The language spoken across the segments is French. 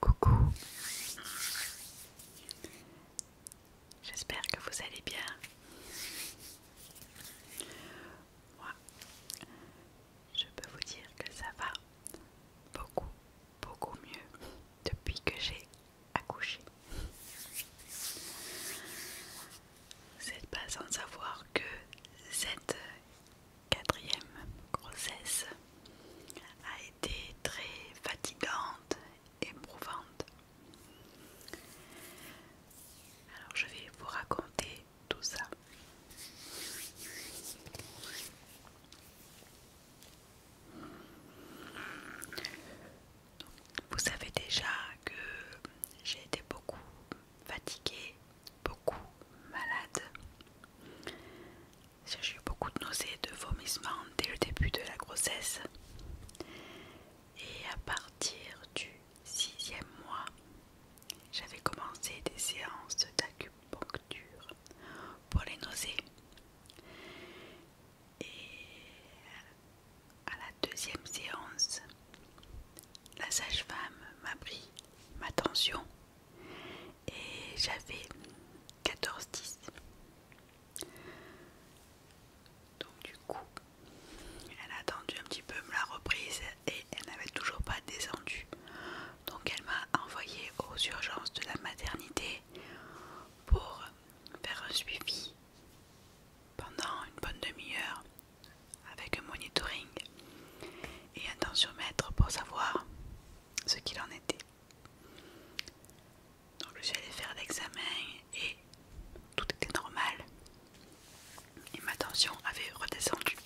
Coucou. J'espère que vous allez bien. Moi, je peux vous dire que ça va beaucoup, beaucoup mieux depuis que j'ai accoucher. C'est pas sans savoir que cette quatrième grossesse a été très fatigante, éprouvante. Alors je vais vous raconter tout ça. Vous savez déjà que j'ai été beaucoup fatiguée, beaucoup malade. J'ai eu beaucoup de nausées, de vomissements dès le début de la grossesse. Et à partir du sixième mois, j'avais commencé des séances d'acupuncture pour les nausées. Et à la deuxième séance, la sage-femme m'a pris ma tension et j'avais 14-10. Donc du coup, elle a attendu un petit peu, me l'a reprise et elle n'avait toujours pas descendu. Donc elle m'a envoyé aux urgences de la maternité pour faire un suivi pendant une bonne demi-heure avec un monitoring et un tensiomètre pour savoir ce qu'il en était. Donc je suis allée faire l'examen et tout était normal et ma tension avait redescendu.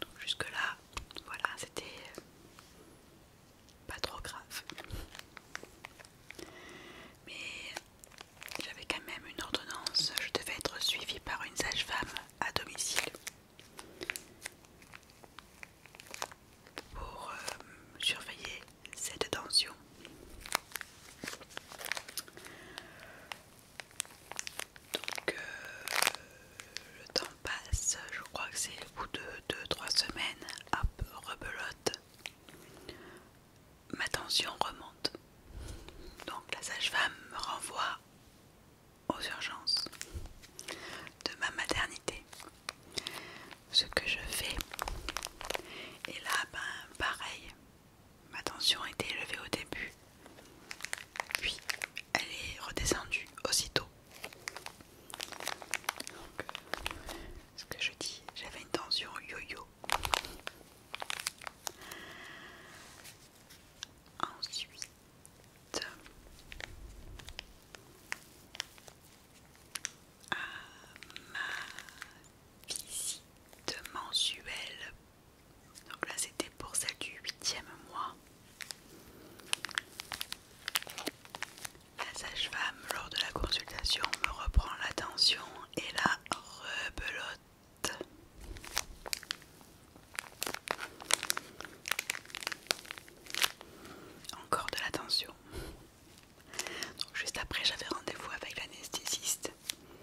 Donc jusque là, voilà, c'était pas trop grave. Mais j'avais quand même une ordonnance, je devais être suivie par une sage-femme à domicile pour euh, surveiller cette tension. Donc, euh, le temps passe, je crois que c'est au bout de 2-3 semaines, hop, rebelote, ma tension remonte. Donc la sage-femme me renvoie aux urgences de ma maternité. Ce que je fais, et là, ben pareil, ma tension était élevée au début, puis elle est redescendue aussitôt. Donc, euh, ce que je dis, j'avais une tension yo-yo. Ensuite, à ma visite mensuelle, donc là c'était pour celle du huitième mois, la sage-femme, lors de la consultation, me reprend l'attention et la rebelote. Encore de l'attention. Donc juste après, j'avais rendez-vous avec l'anesthésiste.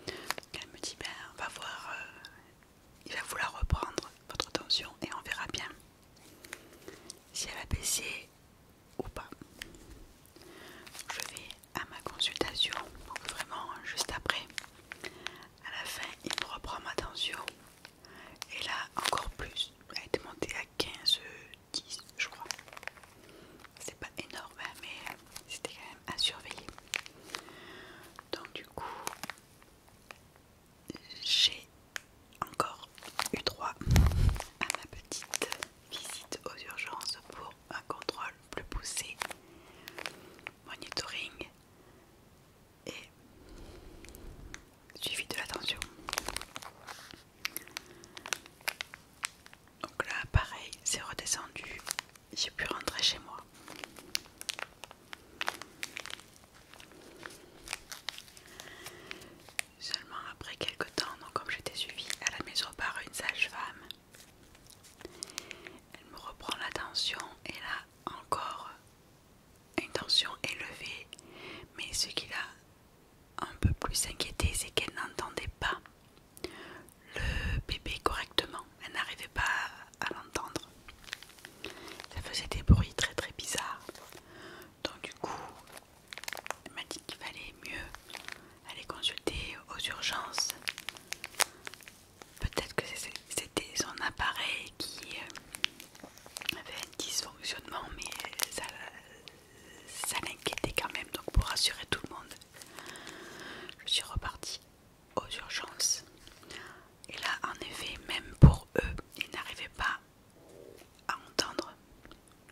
Elle me dit ben, on va voir, euh, il va vouloir reprendre votre tension et on verra bien si elle a baissé ou pas. Je vais à ma consultation, vraiment hein, juste après. À la fin, il me reprend ma tension. Et là, encore plus. Elle était montée à 15, 10, je crois. C'est pas énorme, hein, mais c'était quand même à surveiller. Donc, du coup, j'ai encore eu droit à ma petite visite aux urgences pour un contrôle plus poussé, monitoring et suivi de l'attention. Donc là, pareil, c'est redescendu. J'ai pu rentrer chez moi. Seulement après quelques temps, comme j'étais suivie à la maison par une sage-femme, elle me reprend la tension et là encore une tension élevée. Mais ce qui l'a un peu plus inquiété, c'est qu'elle n'entendait pas le bébé correctement. Elle n'arrivait pas à l'entendre. Ça faisait des bruits très très bizarres. Donc du coup, elle m'a dit qu'il fallait mieux aller consulter aux urgences. Peut-être que c'était son appareil qui euh, avait un dysfonctionnement, mais ça, l'inquiétait quand même. Donc pour rassurer tout le monde, je suis repartie aux urgences et là, en effet, même pour eux, ils n'arrivaient pas à entendre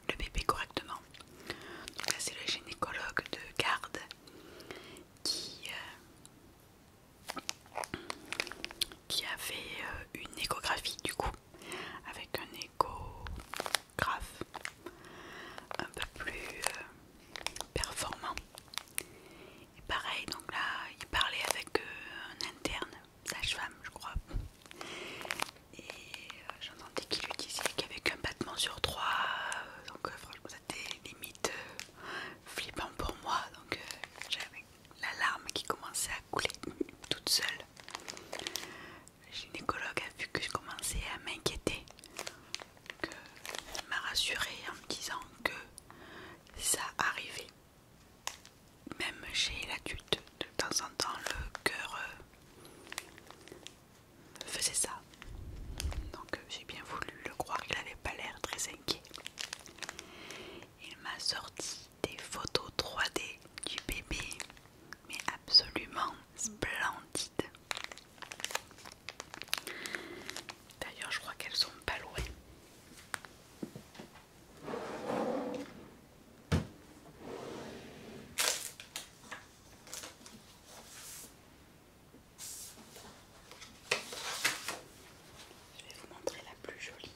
le bébé correctement. Donc là, c'est le gynécologue de garde qui, euh, qui a fait euh, une échographie du coup, avec un échographe un peu plus euh, performant. Et pareil, donc là, il parlait avec un interne sage-femme, je crois. Et euh, j'entendais qu'il lui disait qu'il n'y avait qu'un battement sur trois. Euh, donc, euh, franchement, c'était limite flippant pour moi. Donc, j'avais la larme qui commençait à couler toute seule. Le gynécologue a vu que je commençais à m'inquiéter. Elle m'a rassurée en me disant que ça arrivait. Même chez tute, de temps en temps, le cœur euh, faisait ça. Donc euh, j'ai bien voulu le croire, il n'avait pas l'air très inquiet. Il m'a sorti des photos 3D du bébé, mais absolument splendides. D'ailleurs, je crois qu'elles sont pas loin. Je vais vous montrer la plus jolie.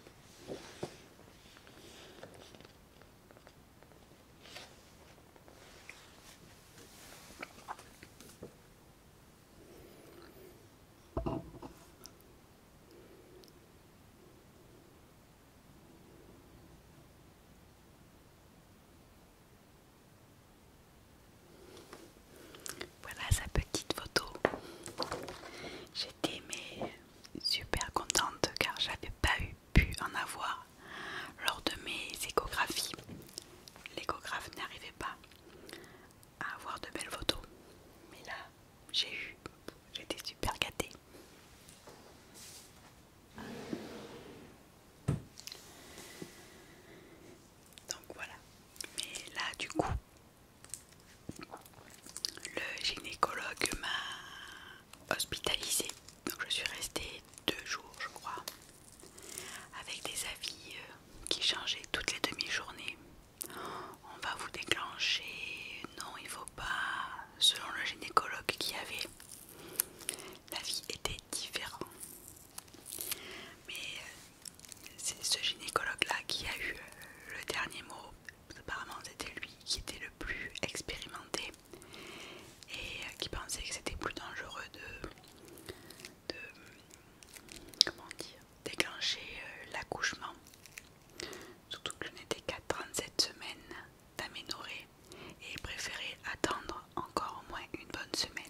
Voilà sa petite photo. J'étais super contente car j'avais pas pu en avoir lors de mes échographies. L'échographe n'arrivait pas à avoir de belles photos. Mais là, j'ai eu, j'étais super gâtée. Donc voilà. Mais là, du coup, le gynécologue m'a hospitalisée. Donc je suis restée deux jours, je crois, avec des avis euh, qui changeaient toutes les demi-journées. On va vous déclencher. Non, il faut pas. Selon le gynécologue qui avait, la vie était différente. Mais euh, c'est ce gynécologue-là qui a eu euh, le dernier mot. Apparemment, c'était lui qui était le plus expérimenté et euh, qui pensait que c'était plus dangereux de, de comment dire, déclencher euh, l'accouchement. Surtout que je n'étais qu'à 37 semaines d'aménorrhée et préféré attendre encore au moins une bonne semaine.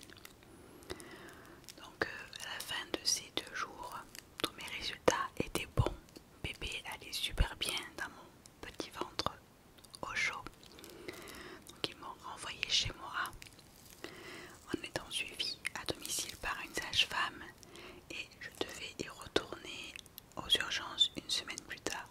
Donc euh, à la fin de ces deux jours, tous mes résultats étaient bons. Bébé allait super bien dans mon petit ventre au chaud. Donc ils m'ont renvoyé chez moi en étant suivie à domicile par une sage-femme et je devais y retourner aux urgences une semaine plus tard.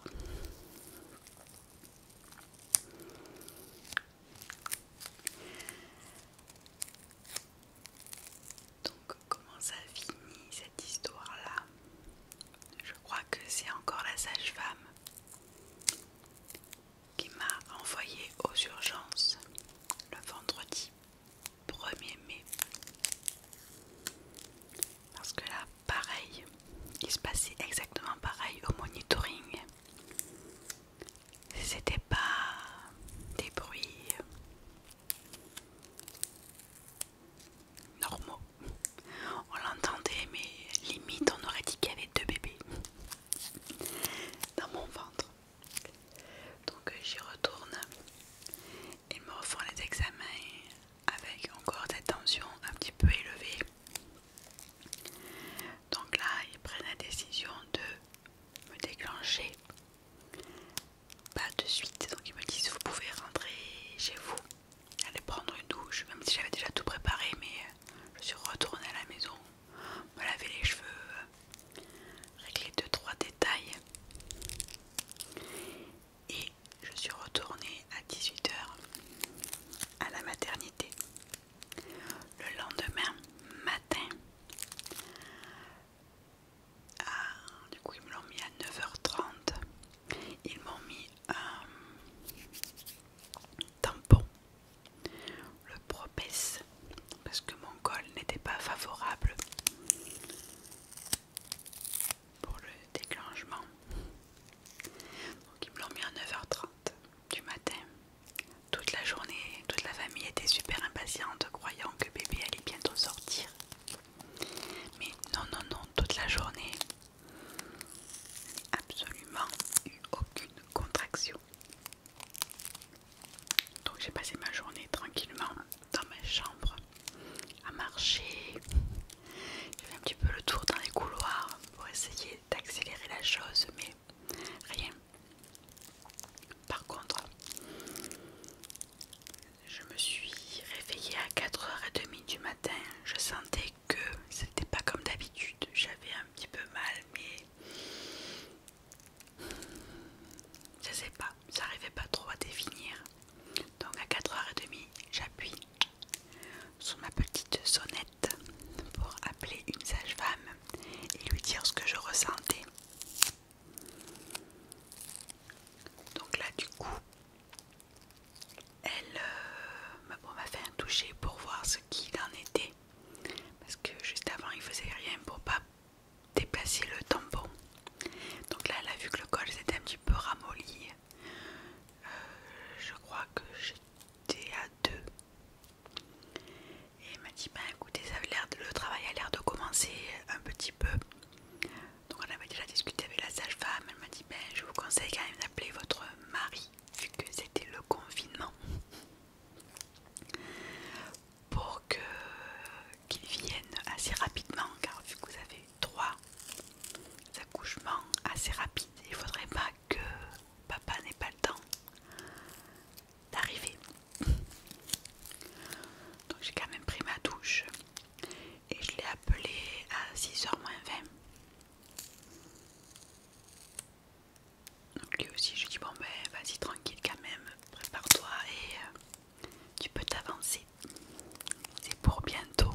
Donc comment ça finit cette histoire-là Je crois que c'est encore la sage-femme qui m'a envoyé aux urgences le vendredi 1er mai. Parce que là, pareil, il se passait exactement pareil au monitoring. C'était pas des bruits euh, normaux. On l'entendait, mais limite on aurait dit qu'il y avait deux bébés dans mon ventre. Donc euh, j'y retourne. Ils me refont les examens avec encore des tensions un petit peu élevées. Donc là, ils prennent la décision de me déclencher. Pas de suite. Donc ils me disent vous pouvez rentrer chez vous, aller prendre une douche, même si j'avais déjà tout préparé, mais euh, je suis retournée à la maison me laver les cheveux, régler 2-3 détails. Et je suis retournée à 18h à la maternité. Le lendemain matin, ah, du coup ils me l'ont mis à 9h30. Ils m'ont mis un tampon le propès parce que mon col n'était pas favorable pour le déclenchement. Donc ils me l'ont mis à 9h30 du matin. Toute la journée, toute la famille était super impatiente croyant que bébé allait bientôt sortir. Mais non, non, non, toute la journée, absolument eu aucune contraction. Donc j'ai passé ma journée tranquillement dans ma chambre à marcher. J'ai fait un petit peu le tour dans les couloirs pour essayer d'accélérer la chose, mais rien. Par contre, je me suis réveillée à 4h30 du matin. Je sentais que c'était pas comme d'habitude. J'avais un petit peu mal, mais je sais pas, j'arrivais pas trop à définir. Donc à 4h30, j'appuie sur ma petite sonnette pour appeler une sage-femme et lui dire ce que je ressentais. Donc là du coup, elle euh, m'a fait un toucher pour voir ce qu'il en était. Parce que juste avant, il faisait rien pour pas déplacer le tampon. Donc là, elle a vu que le col s'était un petit peu ramolli. Euh, je crois que j'étais à deux. Et elle m'a dit, ben écoutez, ça l'air le travail a l'air de commencer un petit peu. Donc on avait déjà discuté avec la sage-femme. Elle m'a dit, ben je vous conseille quand même d'appeler votre mari, vu que c'était le confinement pour que vienne assez rapidement car vu que vous avez trois accouchements assez rapides, il faudrait pas que papa n'ait pas le temps d'arriver. Donc j'ai quand même pris ma douche et je l'ai appelé à 6h moins 20. Donc lui aussi, je lui dis bon ben vas-y tranquille quand même, prépare-toi et euh, tu peux t'avancer. C'est pour bientôt.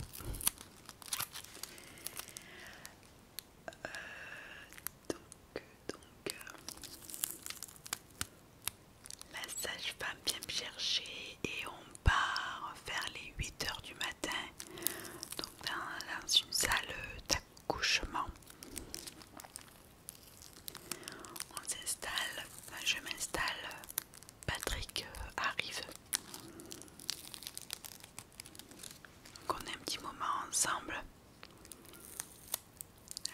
Euh, donc, donc, euh, la sage-femme vient me chercher et on part vers les 8h du matin, donc dans une salle d'accouchement. On s'installe, je m'installe, Patrick euh, arrive. Donc on a un petit moment ensemble.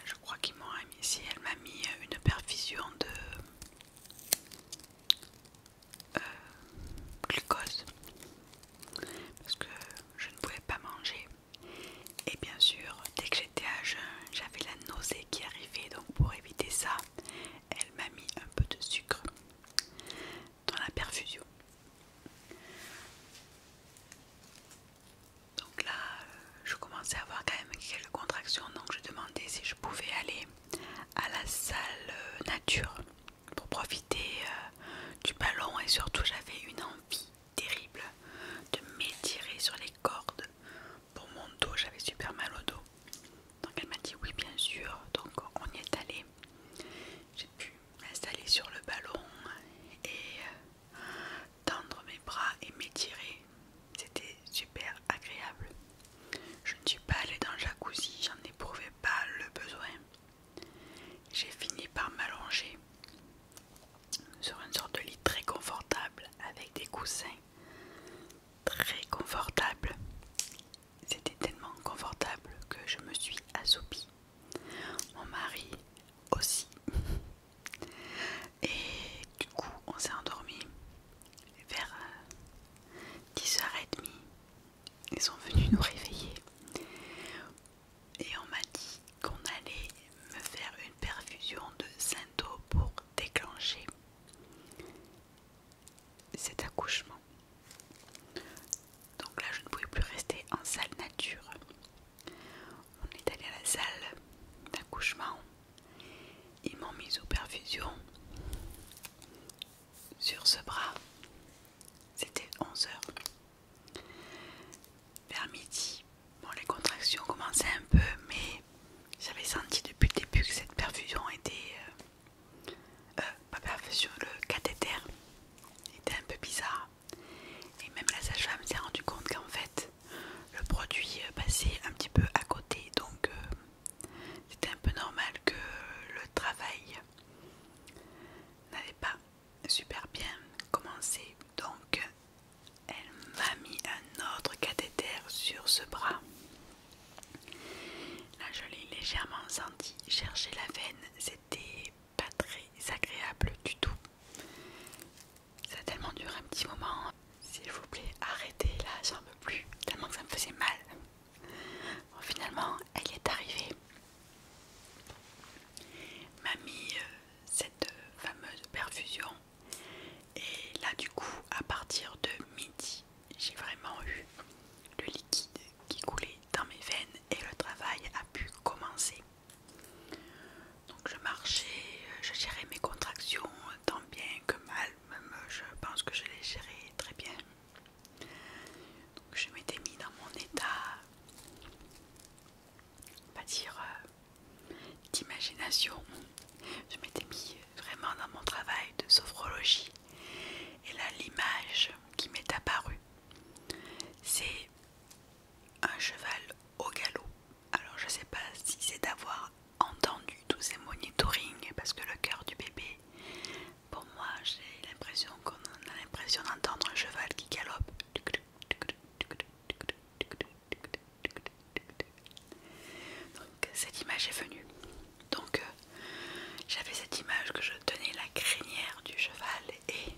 Je crois qu'ils m'ont mis ici. Elle m'a mis une perfusion de euh, glucose parce que je ne pouvais pas manger. Et bien sûr, dès que j'étais à jeun, j'avais la nausée qui arrivait, donc pour éviter ça, elle m'a mis un peu de sucre dans la perfusion. Donc là, euh, je commençais à avoir quand même quelques contractions, donc je demandais si je pouvais aller à la salle euh, nature pour profiter euh, du ballon et surtout j'avais une envie terrible de m'étirer sur les cordes pour mon dos, j'avais super mal au dos. Donc elle m'a dit oui bien sûr, donc on y est allé. J'ai pu m'installer sur le ballon et tendre mes bras et m'étirer. C'était super agréable. Je ne suis pas allée dans le jacuzzi, j'en éprouvais pas le besoin. J'ai fini par m'allonger sur une sorte de lit très confortable avec des coussins très confortables. C'était tellement confortable que je me suis assoupie. Mon mari aussi. Et du coup, on s'est endormi vers 10h30. Euh, Ils sont venus nous réveiller et on m'a dit qu'on allait me faire une perfusion de synto pour déclencher cet accouchement. Donc là, je ne pouvais plus rester en salle nature. On est allé à la salle d'accouchement. Ils m'ont mis aux perfusions sur ce bras. C'était 11 h vers midi, bon, les contractions commençaient un peu, mais j'avais senti depuis le début que cette perfusion était. pas euh, euh, perfusion, le cathéter était un peu bizarre. Et même la sage-femme s'est rendue compte qu'en fait, le produit euh, passait un petit peu à côté, donc c'était un peu normal que le travail n'allait pas Super bien commencé. Donc, elle m'a mis un autre cathéter sur ce bras. Là, je l'ai légèrement senti chercher la veine. C'était pas très agréable du tout. Ça a tellement duré un petit moment. S'il vous plaît, arrêtez là, j'en peux plus. Tellement que ça me faisait mal. Bon, finalement, elle est arrivée. m'a mis euh, cette fameuse perfusion. Et là du coup à partir de midi j'ai vraiment eu le liquide qui coulait dans mes veines et le travail a pu commencer. Donc je marchais, je gérais mes contractions tant bien que mal, même je pense que je les gérais très bien. Donc je m'étais mis dans mon état on dire, euh, d'imagination. Je m'étais mis vraiment dans mon travail de sophrologie. Et là, l'image qui m'est apparue, c'est un cheval au galop. Alors, je sais pas si c'est d'avoir entendu tous ces monitorings, parce que le cœur du bébé, pour moi, j'ai l'impression qu'on a l'impression d'entendre un cheval qui galope. Donc cette image est venue. Donc euh, j'avais cette image que je tenais la crinière du cheval et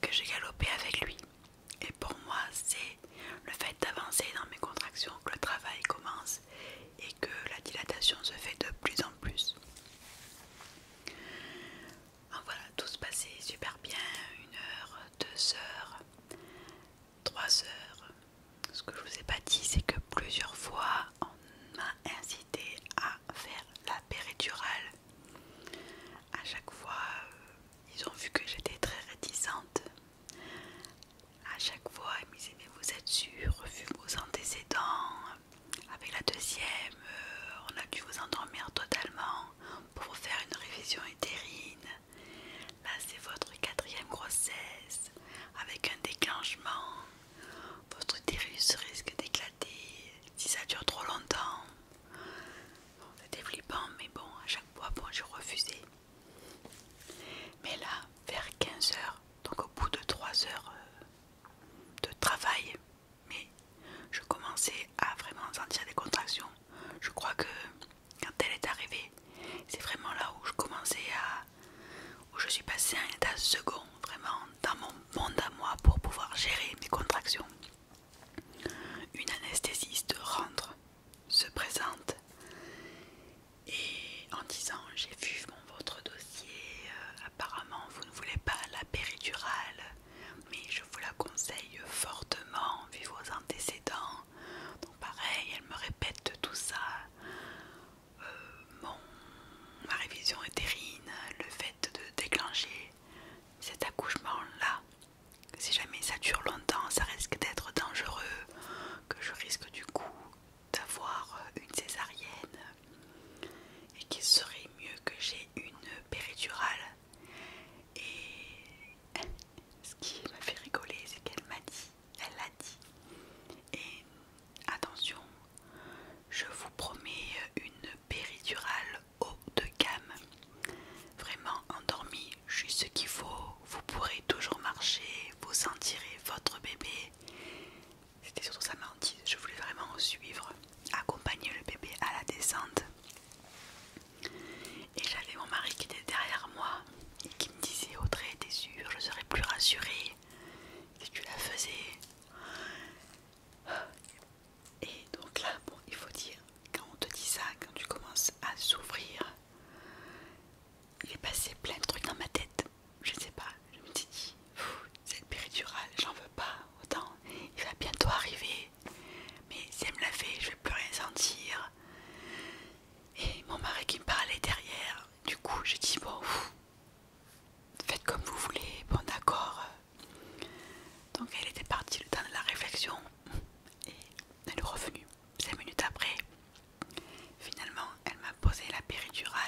que j'ai galopé avec lui. Et pour moi c'est le fait d'avancer dans mes contractions que le travail commence et que la dilatation se fait de plus en plus. Ah, voilà, tout se passait super bien, une heure, deux heures, trois heures. Ce que je vous ai pas dit, c'est que plusieurs fois on m'a incité à faire la péridurale. À chaque fois, euh, ils ont vu que j'étais très réticente. À chaque fois, ils me disaient mais vous êtes sûrs, vu vos antécédents, avec la deuxième, euh, on a dû vous endormir totalement pour vous faire une révision utérine. Là, c'est votre quatrième grossesse avec un déclenchement. Votre utérus risque d'éclater si ça dure trop longtemps. C'était flippant, mais bon, à chaque fois, bon, j'ai refusé. Mais là, vers 15 heures, donc au bout de 3 heures euh, de travail, mais je commençais à vraiment sentir des contractions. Je crois que quand elle est arrivée, c'est vraiment là où je commençais à... où je suis passée à un état second, vraiment dans mon monde à moi pour pouvoir gérer mes contractions. Une anesthésiste rentre, se présente et en disant j'ai vu mon, votre dossier, euh, apparemment vous ne voulez pas la péridurale, mais je vous la conseille fortement vu vos antécédents. Donc pareil, elle me répète tout ça. Euh, ma révision éthérine, le fait de déclencher cet accouchement-là, si jamais ça dure longtemps, ça risque d'être dangereux, que je risque du coup d'avoir une césarienne et qu'il serait mieux que j'ai une péridurale et ce qui m'a fait rigoler, c'est qu'elle m'a dit, elle l'a dit. Et attention, je vous promets une péridurale haut de gamme. Vraiment endormie, juste ce qu'il faut. Vous pourrez toujours marcher, vous sentirez votre bébé. C'était surtout sa dit. je voulais vraiment suivre accompagner le bébé à la descente. Et j'avais mon mari qui était derrière moi et qui me disait Audrey, t'es sûre, je serais plus rassurée si tu la faisais. Et donc là, bon, il faut dire, quand on te dit ça, quand tu commences à s'ouvrir, il est passé plein de trucs dans ma tête. Je ne sais pas, je me suis dit, cette péridurale, j'en veux pas autant il va bientôt arriver. Mais si elle me l'a fait, je vais plus rien sentir. Et mon mari qui me parlait derrière, du coup j'ai dit bon, faites comme vous voulez, bon d'accord. Donc elle était partie le temps de la réflexion et elle est revenue. Cinq minutes après, finalement elle m'a posé la péridurale.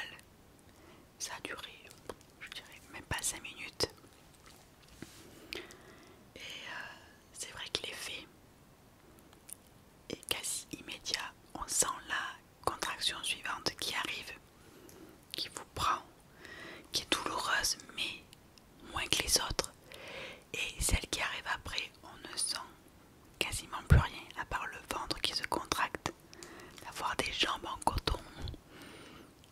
Ça a duré, je dirais, même pas cinq minutes. Et euh, c'est vrai que l'effet est quasi immédiat. On sent la contraction suivante qui arrive, qui vous prend, qui est douloureuse mais moins que les autres. Et celle qui arrive après, on ne sent quasiment plus rien à part le ventre qui se contracte, avoir des jambes en coton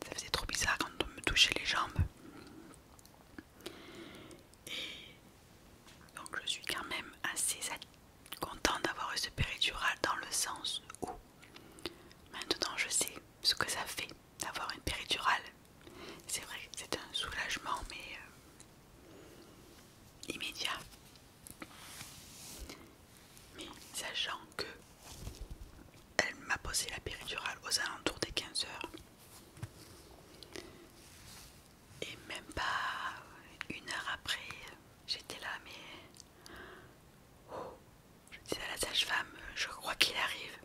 ça faisait trop bizarre quand on me touchait les jambes. Et donc je suis quand même assez contente d'avoir eu ce péridural dans le sens où maintenant je sais ce que ça fait d'avoir une péridurale. C'est vrai que c'est un soulagement mais euh, immédiat mais sachant que elle m'a posé la péridurale aux alentours des 15h et même pas une heure après j'étais là mais oh, je dis à la sage-femme je crois qu'il arrive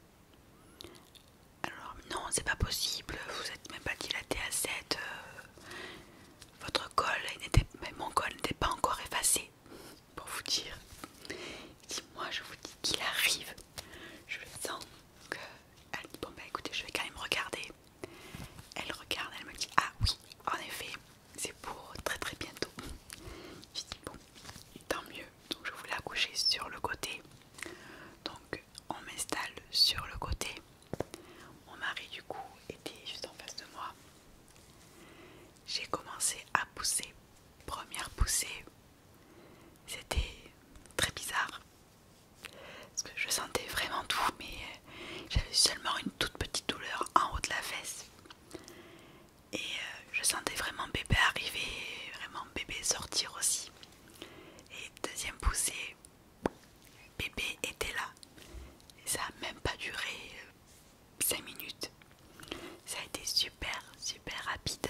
alors non c'est pas possible vous n'êtes même pas dilaté à 7 euh, votre col n'était mon col n'était pas encore effacé pour vous dire. dis moi je vous dis qu'il arrive, je sens que elle dit bon bah écoutez je vais quand même regarder. Elle regarde, elle me dit ah oui en effet c'est pour très très bientôt. Je dis bon tant mieux donc je voulais accoucher sur le côté donc on m'installe sur le côté. Mon mari du coup était juste en face de moi. J'ai commencé à pousser première poussée, c'était très bizarre. Parce que je sentais vraiment tout, mais euh, j'avais seulement une toute petite douleur en haut de la fesse. Et euh, je sentais vraiment bébé arriver, vraiment bébé sortir aussi. Et deuxième poussée, bébé était là. Et ça n'a même pas duré euh, 5 minutes. Ça a été super, super rapide.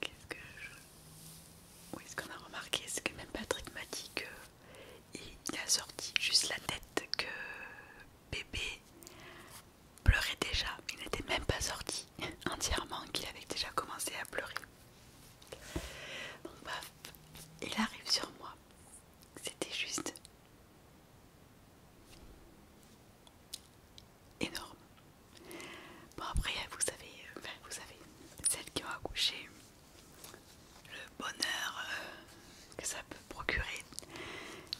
Qu'est-ce que je... Oui, ce qu'on a remarqué, c'est que même Patrick m'a dit qu'il il a sorti juste la tête que bébé pleurait déjà. Il n'était même pas sorti. entièrement qu'il avait déjà commencé à pleurer. Donc paf, il arrive sur moi. C'était juste énorme. Bon après vous savez, vous savez, celle qui ont accouché, le bonheur euh, que ça peut procurer,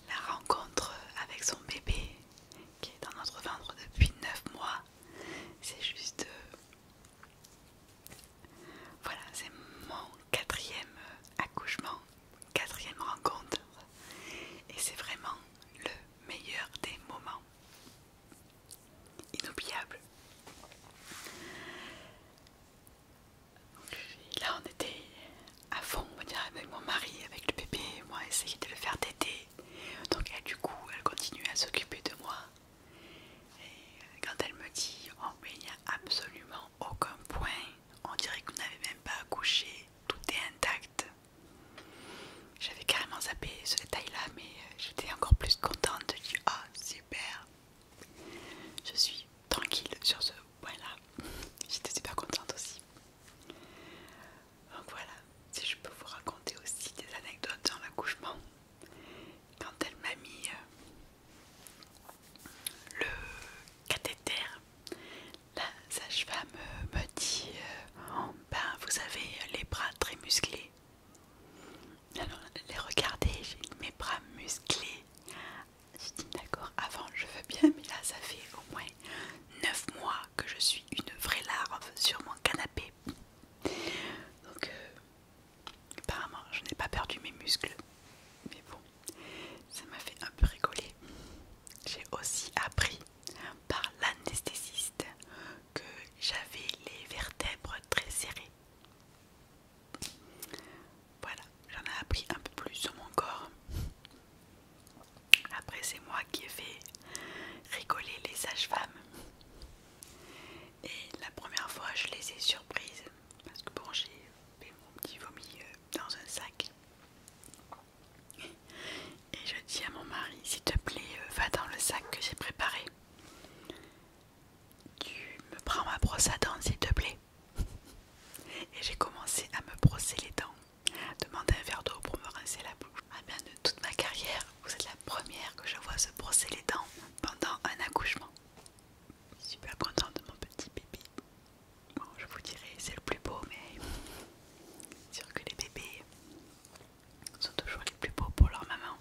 la rencontre avec son bébé qui est dans notre ventre depuis 9 mois, c'est juste... Euh, voilà, c'est mon quatrième euh, accouchement, quatrième rencontre. Et c'est vraiment le meilleur des moments. Inoubliable. là, on était à fond, on va dire, avec mon mari, avec le bébé. Moi, essayer de le faire t'aider. Donc du coup elle continue à s'occuper de moi. Et quand elle me dit oh il n'y a absolument aucun point, on dirait que vous n'avez même pas accouché, tout est intact. J'avais carrément zappé ce détail là mais euh, j'étais encore plus contente de dire ah oh, super Je suis tranquille sur ce point là. J'étais super contente aussi. Donc voilà, si je peux vous raconter aussi des anecdotes dans l'accouchement. Quand elle m'a mis euh, le cathéter, la sage-femme euh, me dit euh, oh, ben, Vous avez les bras très musclés. Alors, les regarder, j'ai mes bras musclés. Je dis D'accord, avant je veux bien, mais là ça fait au moins 9 mois que je suis une vraie larve sur mon canapé. Donc, euh, apparemment, je n'ai pas perdu mes muscles. Mais bon, ça m'a fait un peu rigoler. J'ai aussi appris par l'anesthésiste que j'avais les vertèbres très serrées. Voilà, j'en ai appris un peu plus sur mon corps. Après, c'est moi qui ai fait rigoler les sages-femmes. Et la première fois, je les ai surprises parce que bon, j'ai fait mon petit vomi euh, dans un sac. Et je dis à mon mari, s'il te plaît, euh, va dans le sac que j'ai préparé. Tu me prends ma brosse à dents, s'il te plaît. Et j'ai commencé à me brosser les dents. Demandez un verre d'eau pour me rincer la bouche. Ah bien, de toute ma carrière, vous êtes la première que je vois se brosser les dents pendant un accouchement. Super contente de mon petit bébé. Bon, je vous dirais c'est le plus beau, mais c'est sûr que les bébés sont toujours les plus beaux pour leur maman.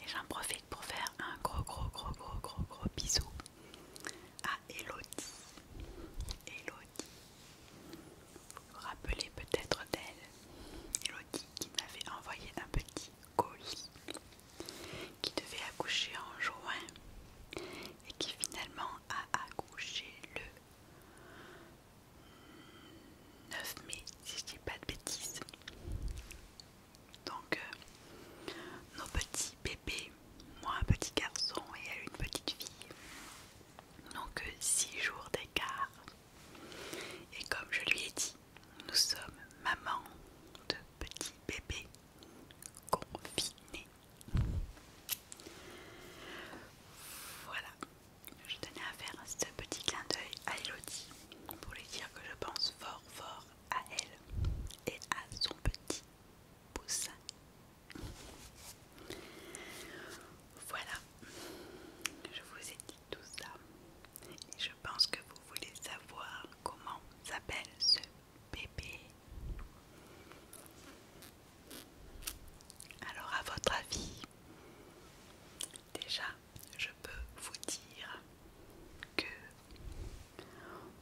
Et j'en profite pour faire un gros, gros, gros, gros, gros, gros bisou à Elodie. Elodie vous vous rappelez peut-être d'elle, Elodie qui m'avait envoyé un petit colis qui devait accoucher en juin et qui finalement a accouché le 9 mai, si je dis pas de bêtises. Donc, euh, nos petits bébés, moi un petit garçon et elle une petite fille, donc que 6 jours d'écart. Et comme je lui ai dit, nous sommes mamans de petits bébés confinés. Voilà, je tenais à faire ce petit clin d'œil à Elodie pour lui dire que je pense fort fort à elle et à son petit poussin voilà, je vous ai dit tout ça. Et je pense que vous voulez savoir comment s'appelle ce bébé. Alors à votre avis, déjà je peux vous dire que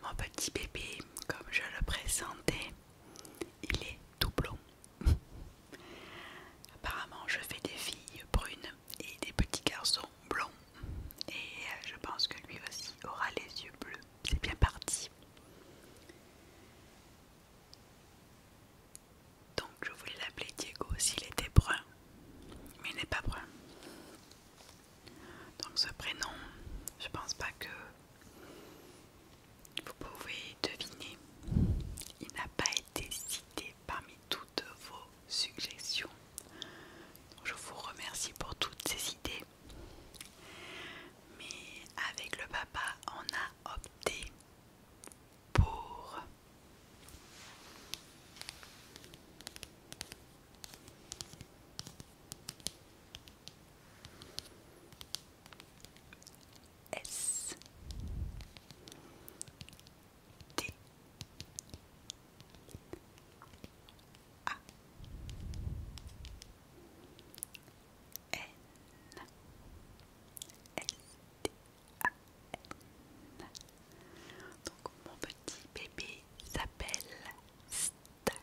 mon petit bébé, comme je le présentais, il est tout blond. Apparemment, je fais des filles brunes et des petits garçons blonds. Et euh, je pense que lui aussi aura les yeux bleus. C'est bien parti. Donc je voulais l'appeler Diego s'il était brun. Mais il n'est pas brun. Donc ce prénom, je pense pas que vous pouvez deviner, il n'a pas été cité parmi toutes vos suggestions. Je vous remercie pour toutes ces idées. Mais avec le papa, on a opté pour S T A N S T A N Donc mon petit bébé s'appelle Stan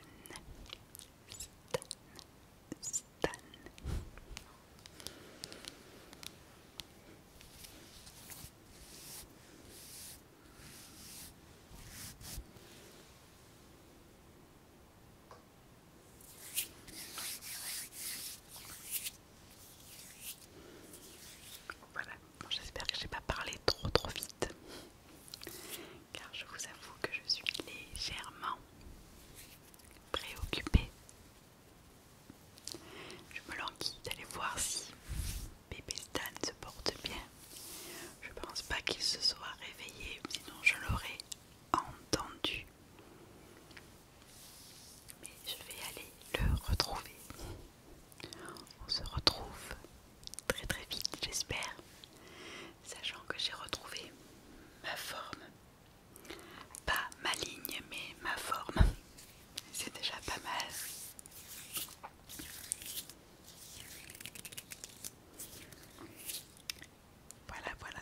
voilà, j'espère que j'ai pas parlé trop trop vite, car je vous avoue que je suis légèrement préoccupée. Je me languis d'aller voir si bébé Stan se porte bien. Je pense pas qu'il se soit réveillé, sinon je l'aurais entendu. Mais je vais aller le retrouver. On se retrouve très très vite, j'espère, sachant que j'ai retrouvé ma forme. Pas ma ligne, mais ma forme. C'est déjà pas mal. Voilà, voilà.